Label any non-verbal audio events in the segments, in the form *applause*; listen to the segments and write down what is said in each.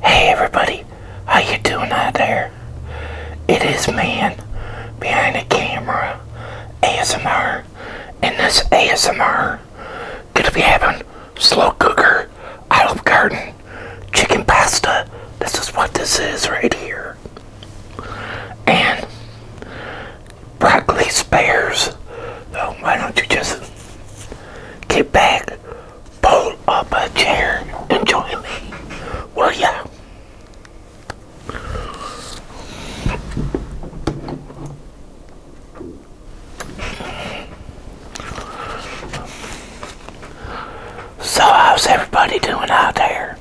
Hey everybody, how you doing out there? It is man behind the camera ASMR and this ASMR gonna be having slow cooker I love garden chicken pasta. This is what this is right here. And broccoli spears. So why don't you just Get back, pull up a chair, and join me, will ya? So, how's everybody doing out there?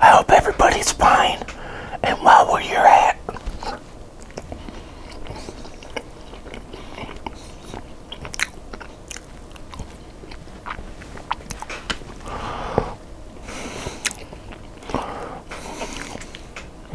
I hope everybody's fine and while we you're at.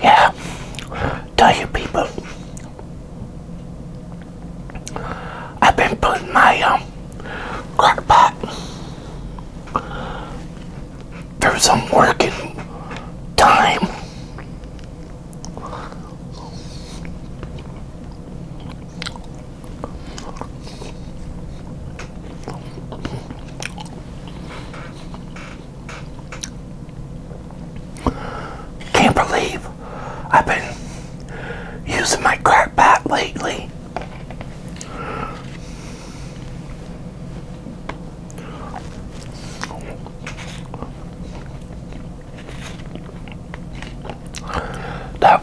Yeah, tell you people, I've been putting my um, crock pot through some working time. Can't believe I've been using my crack bat lately. That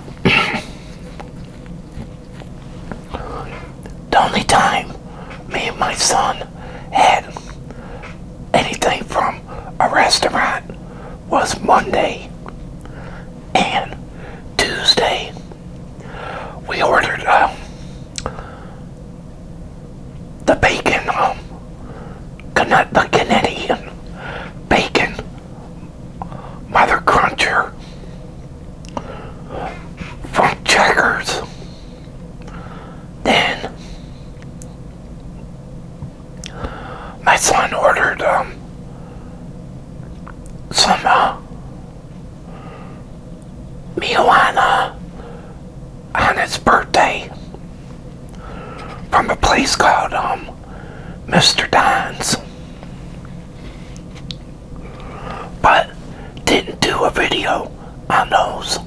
the only time me and my son had anything from a restaurant was Monday and Tuesday. We ordered um, the bacon, um, the Canadian bacon mother cruncher from Checkers. Then my son ordered um, some uh, marijuana on, his birthday from a place called um, Mr. Dines but didn't do a video on those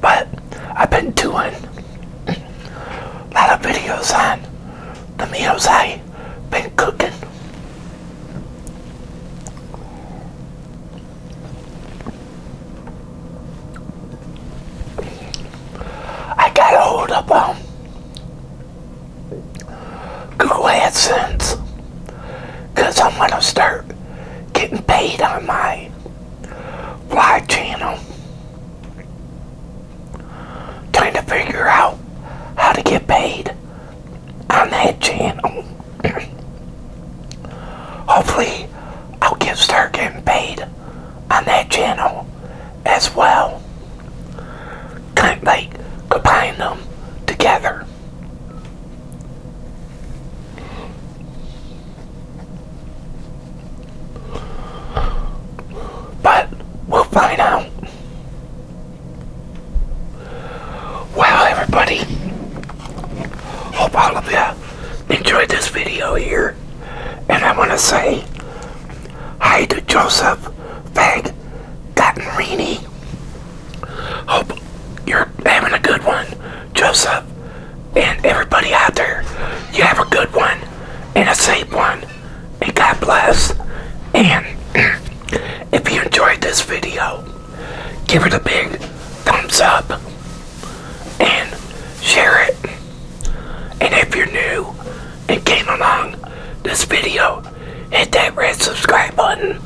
but I've been doing a lot of videos on the meals I've been cooking. I got a hold of um, Google AdSense because I'm going to start getting paid on my vlog channel trying to figure out how to get paid on that channel. Hopefully, I'll get start getting paid on that channel as well. Kind of like combine them together. But we'll find out. Well, everybody, hope all of you enjoyed this video here. And I want to say hi to Joseph Fag Gattenrini. Hope you're having a good one, Joseph. And everybody out there, you have a good one and a safe one. And God bless. And *clears throat* if you enjoyed this video, give it a big thumbs up and share it. And if you're new and came along this video, hit that red subscribe button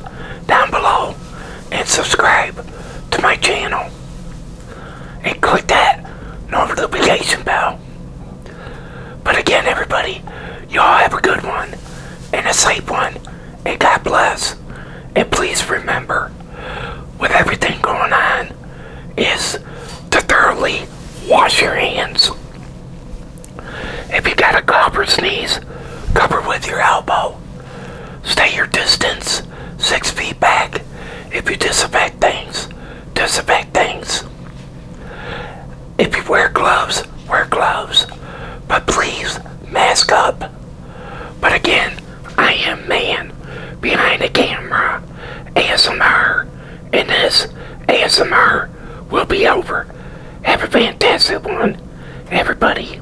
down below and subscribe to my channel and click that notification bell. But again, everybody, y'all have a good one and a safe one, and God bless. And please remember, with everything going on, is to thoroughly wash your hands. If you got a cough or sneeze, cover with your elbow. Stay your distance six feet back. If you disinfect things, disinfect things. If you wear gloves, wear gloves. But please, mask up. But again, I am man behind the camera. ASMR. And this ASMR will be over. Have a fantastic one, everybody.